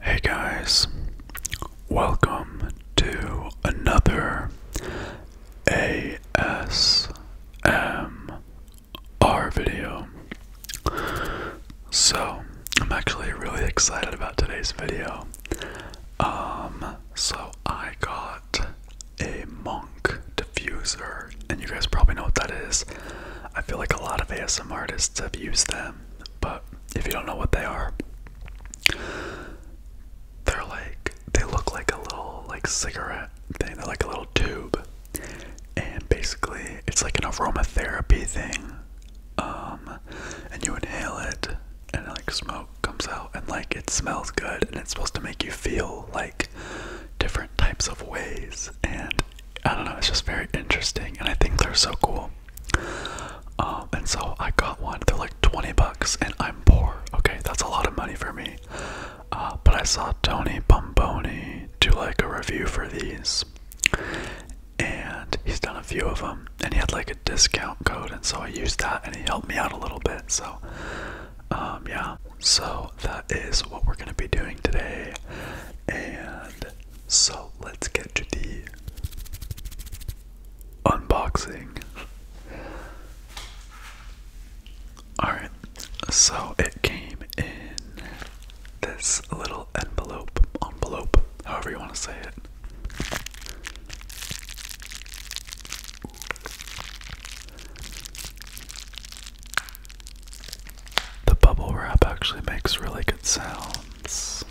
Hey guys, welcome to another ASMR video. So, I'm actually really excited about today's video. Um, so I got a monk diffuser, and you guys probably know what that is. I feel like a lot of ASM artists have used them, but if you don't know what they are, they're like they look like a little like cigarette thing. They're like a little tube, and basically it's like an aromatherapy thing. Um, and you inhale it, and like smoke comes out, and like it smells good, and it's supposed to make you feel like different types of ways and I don't know, it's just very interesting and I think they're so cool. Um, and so I got one, they're like 20 bucks and I'm poor. Okay, that's a lot of money for me. Uh, but I saw Tony Bomboni do like a review for these. And he's done a few of them, and he had like a discount code, and so I used that, and he helped me out a little bit. So, um, yeah. So that is what we're going to be doing today. And so let's get to the unboxing. Alright, so it came in this little envelope, envelope, however you want to say it. The bubble wrap actually makes really good sounds.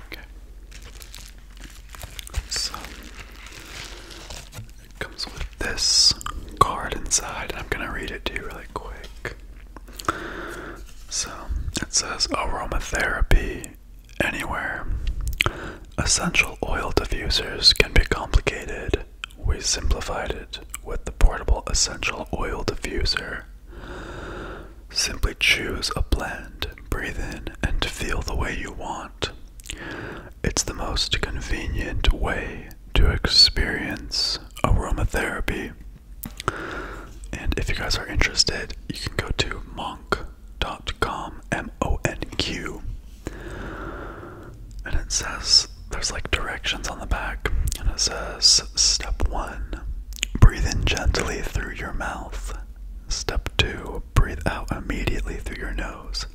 Okay. So it comes with this card inside, and I'm gonna read it to you really quick. So it says aromatherapy anywhere. Essential oil diffusers can be complicated. We simplified it with the portable essential oil diffuser. Simply choose a blend, breathe in, and feel the way you want. It's the most convenient way to experience aromatherapy. And if you guys are interested, you can go to Monk monq.com, M O N Q. And it says there's like directions on the back, and it says step one, breathe in gently through your mouth. Step two, breathe out immediately through your nose.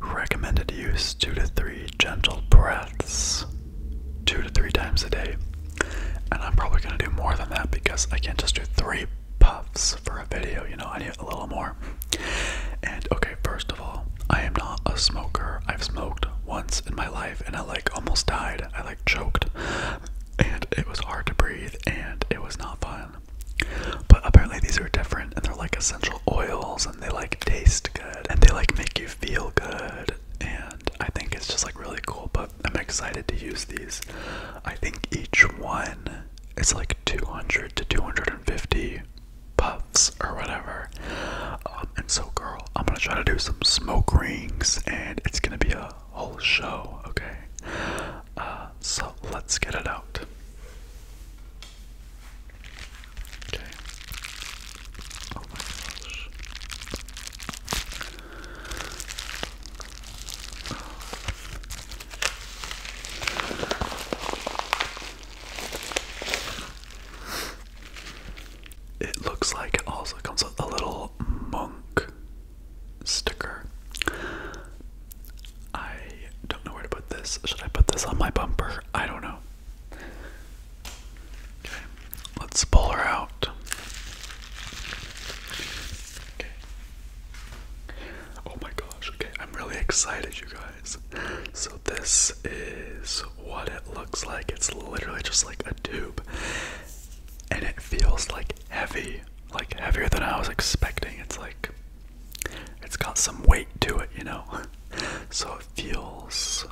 Recommended use two to three gentle breaths, two to three times a day. And I'm probably going to do more than that because I can't just do three puffs for a video, you know, I need a little more. And okay, first of all, I am not a smoker. I've smoked once in my life and I like almost died. I like choked. And it was hard to breathe and it was not fun. But apparently these are different and they're like essential oils and they like taste good and they like make you feel good and I think it's just like really cool. But I'm excited to use these. I think each one is like 200 to 250 puffs or whatever. Um, and so, girl, I'm gonna try to do some smoke rings, and it's gonna be a whole show, okay? Uh, so let's get it out. Okay. Oh my gosh. It looks like it also comes with a little monk sticker. I don't know where to put this. Should I put this on my bumper? I don't know. Okay, let's pull her out. Okay, Oh my gosh, okay, I'm really excited, you guys. So, this is what it looks like. It's literally just like a tube, and it feels like heavy, like heavier than I was expecting. It's like it's got some weight to it, you know? So, it feels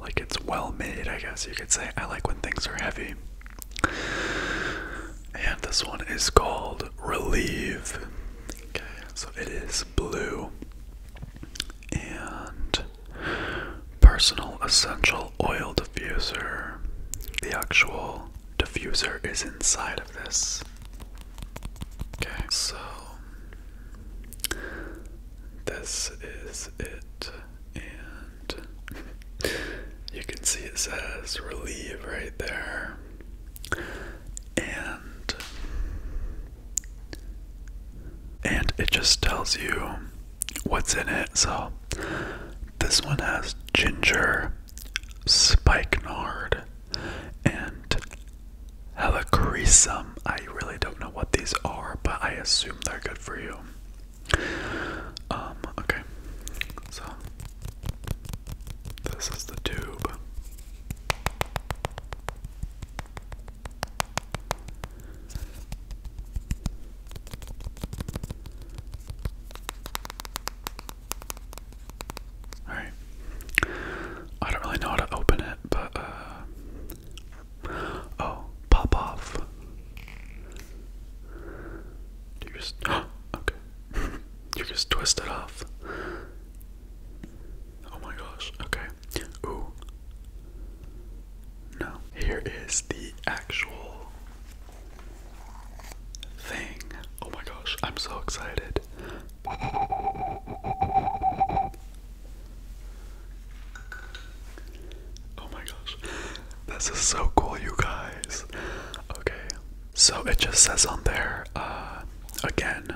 like it's well made, I guess you could say. I like when things are heavy. And this one is called Relieve. Okay, so it is blue and personal essential oil diffuser. The actual diffuser is inside of this. Okay, so this is it. you can see it says relieve right there. And and it just tells you what's in it. So this one has ginger, spikenard, and helichrysum. I really don't know what these are, but I assume they're good for you. Um, okay. So this is the tube. Alright. I don't really know how to open it, but uh, oh, pop off. You just okay. you just twist it off. Oh my gosh. Okay. Ooh. No. Here is the actual thing. Oh my gosh. I'm so excited. Oh my gosh. This is so cool, you guys. Okay, so it just says on there, uh, again,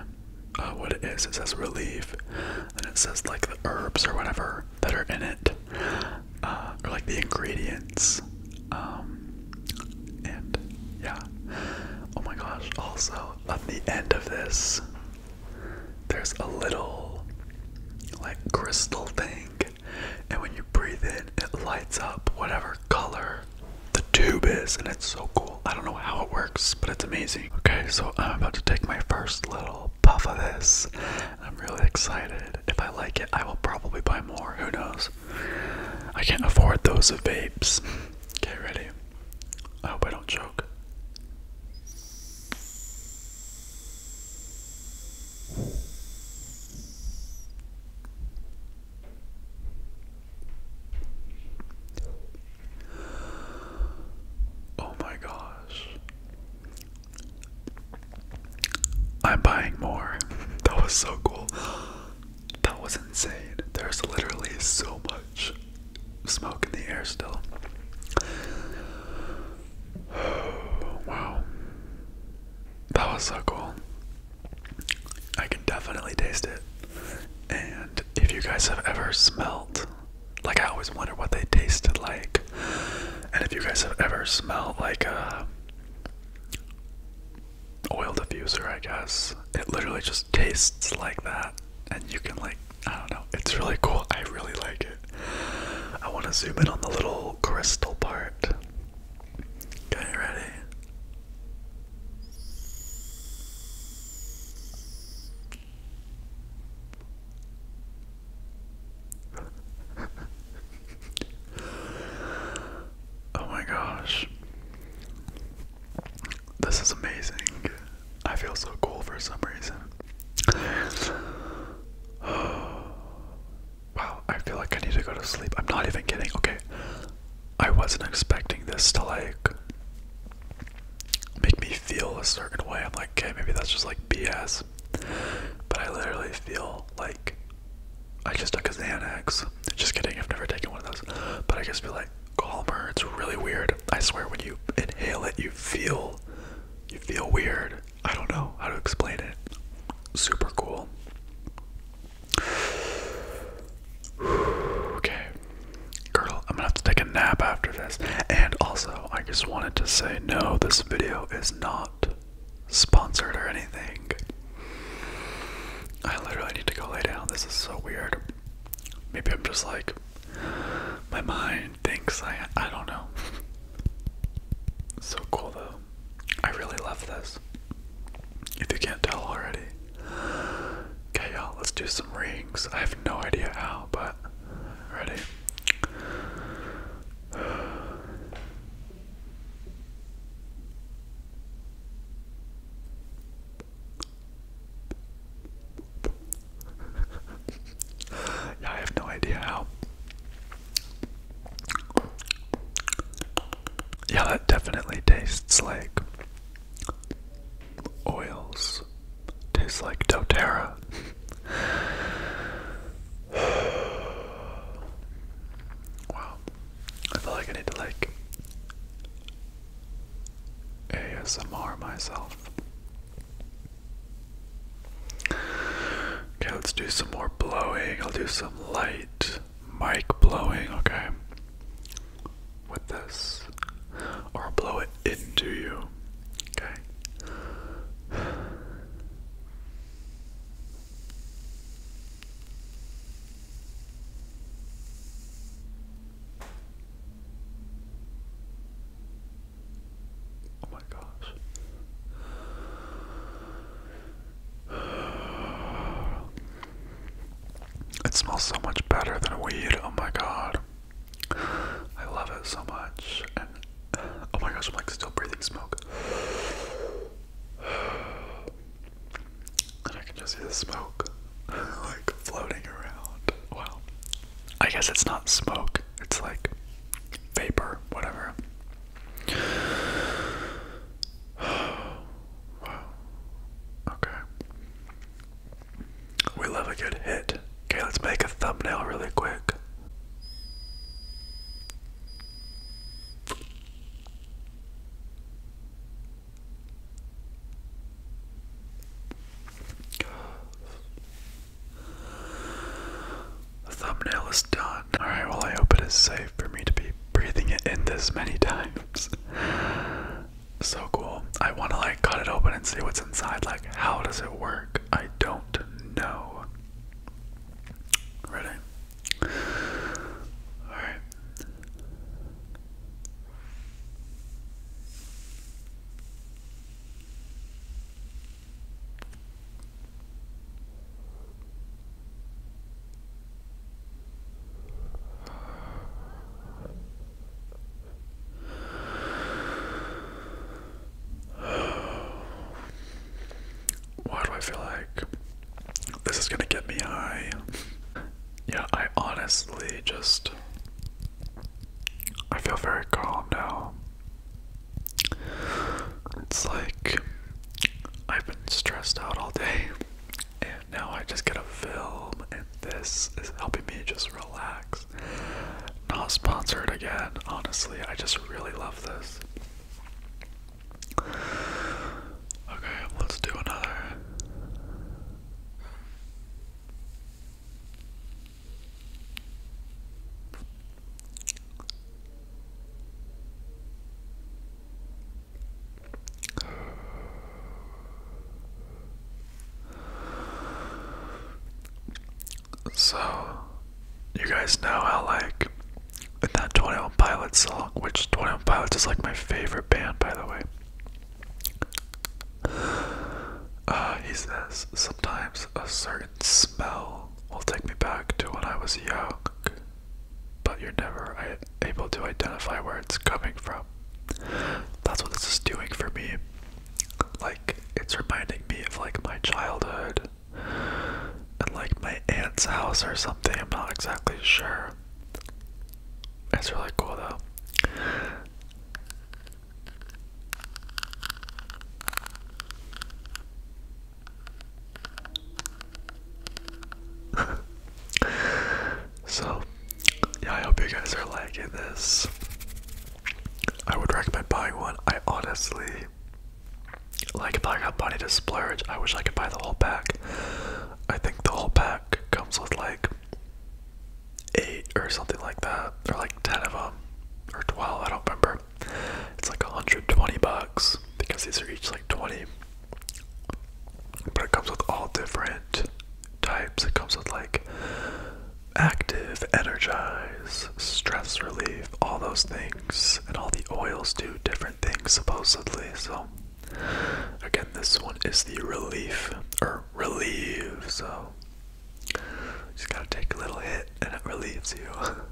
uh, what it is. It says relief, and it says like the herbs or whatever that are in it, uh, or like the ingredients. Um, and yeah, oh my gosh, also on the end of this, there's a little like crystal thing and when you breathe in, it lights up whatever color the tube is, and it's so cool. I don't know how it works, but it's amazing. Okay, so I'm about to take my first little puff of this, and I'm really excited. If I like it, I will probably buy more. Who knows? I can't afford those of vapes. Get ready. I hope I don't choke. Oh my gosh. I'm buying more. That was so cool. That was insane. There's literally so much smoke in the air still. wow. That was so cool. I can definitely taste it. And if you guys have ever smelled, like I always wonder what they tasted like. And if you guys have ever smelled like a uh, oil diffuser, I guess, it literally just tastes like that. And you can like, I don't know, it's really cool. I really like it. I want to zoom in on the little crystal part. Okay, ready? oh my gosh. This is amazing. I feel so cool for some reason. Oh. Wow, I feel like I need to go to sleep. I'm not even kidding. Okay. I wasn't expecting this to like make me feel a certain way. I'm like, okay, maybe that's just like BS. But I literally feel like I just took a Xanax. Just kidding, I've never taken one of those. But I just feel like calmer. It's really weird. I swear when you inhale it you feel you feel weird. I don't know how to explain it. Super cool. Okay. Girl, I'm gonna have to take a nap after this. And also, I just wanted to say no, this video is not sponsored or anything. I literally need to go lay down. This is so weird. Maybe I'm just like, my mind thinks I, I don't know. so cool though. I really love this. If you can't tell already. Okay, y'all, let's do some rings. I have no idea how, but ready? yeah, I have no idea how. Yeah, that definitely tastes like oils. Tastes like doTERRA. wow. I feel like I need to like ASMR myself. Okay, let's do some more blowing. I'll do some light mic blowing, okay? With this. Or I'll blow it into you, okay? my gosh. It smells so much better than weed. Oh my god. I love it so much. And oh my gosh, I'm like still breathing smoke. And I can just see the smoke like floating around. Well, I guess it's not smoke, it's like vapor, whatever. wow. Okay. We love a good hit. Okay, let's make a thumbnail really quick. The thumbnail is done. Alright, well, I hope it is safe for me to be breathing it in this many times. so cool. I want to, like, cut it open and see what's inside. Like, how does it work? I don't know. Ready? Alright. Why do I feel like this is gonna get me high? yeah, I honestly just. I feel very calm now. It's like I've been stressed out all day, and now I just get a film, and this is helping me just relax. Not sponsored again, honestly. I just really love this. Okay, let's do another. So, you guys know how, like, in that 21 Pilots song, which 21 Pilots is like my favorite band, by the way. Uh, he says, sometimes a certain smell will take me back to when I was young, but you're never able to identify where it's coming from. That's what this is doing for me. Like, it's reminding me of like my childhood and like my aunt's house or something. I'm not exactly sure. It's really cool though. so, yeah, I hope you guys are liking this. I would recommend buying one. I honestly, like, if I got money to splurge, I wish I could buy the whole pack. I think the whole pack comes with like eight or something like that, or like ten of them, or twelve, I don't remember. It's like 120 bucks because these are each like 20. But it comes with all different types. It comes with like active, energize, stress relief, all those things. And all the oils do different things supposedly. So again, this one is the relief or relieve. So just gotta take a little hit and it relieves you.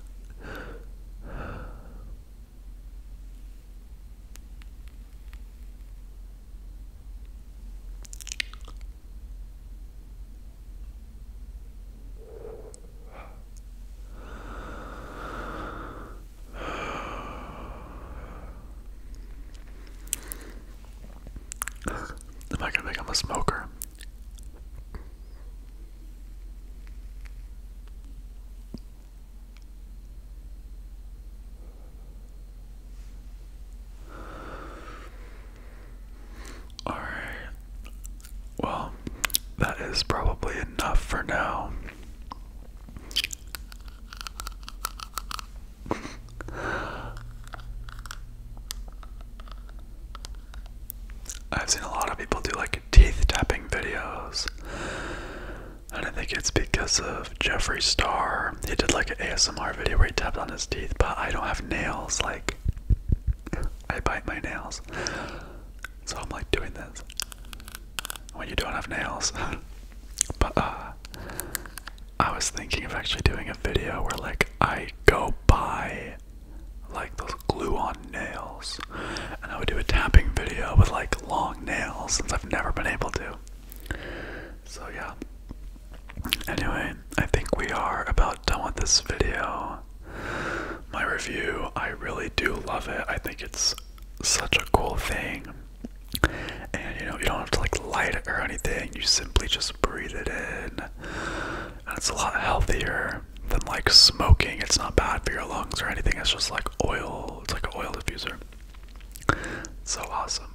Am I gonna become a smoker? All right. Well, that is probably enough for now. I've seen a lot of people do like teeth tapping videos. And I think it's because of Jeffree Star. He did like an ASMR video where he tapped on his teeth, but I don't have nails. Like, I bite my nails. So I'm like doing this when you don't have nails. but uh, I was thinking of actually doing a video where like I go by like those glue on nails. And I would do a tapping video with like long nails since I've never been able to. So, yeah. Anyway, I think we are about done with this video. My review, I really do love it. I think it's such a cool thing. And you know, you don't have to like light it or anything, you simply just breathe it in and it's a lot healthier than like smoking. It's not bad for your lungs or anything. It's just like oil. It's like an oil diffuser. So awesome.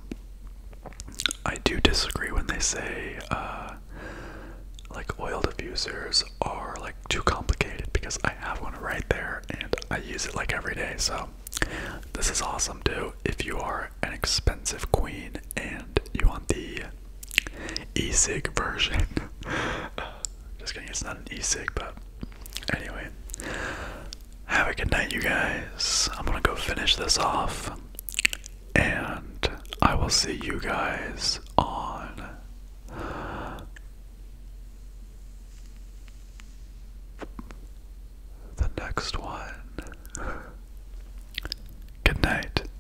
I do disagree when they say uh, like oil diffusers are like too complicated because I have one right there and I use it like every day. So this is awesome too. If you are an expensive queen and you want the e-cig version. Uh, just kidding, it's not an e-cig, but anyway. Have a good night, you guys. I'm gonna go finish this off, and I will see you guys on. The next one. Good night.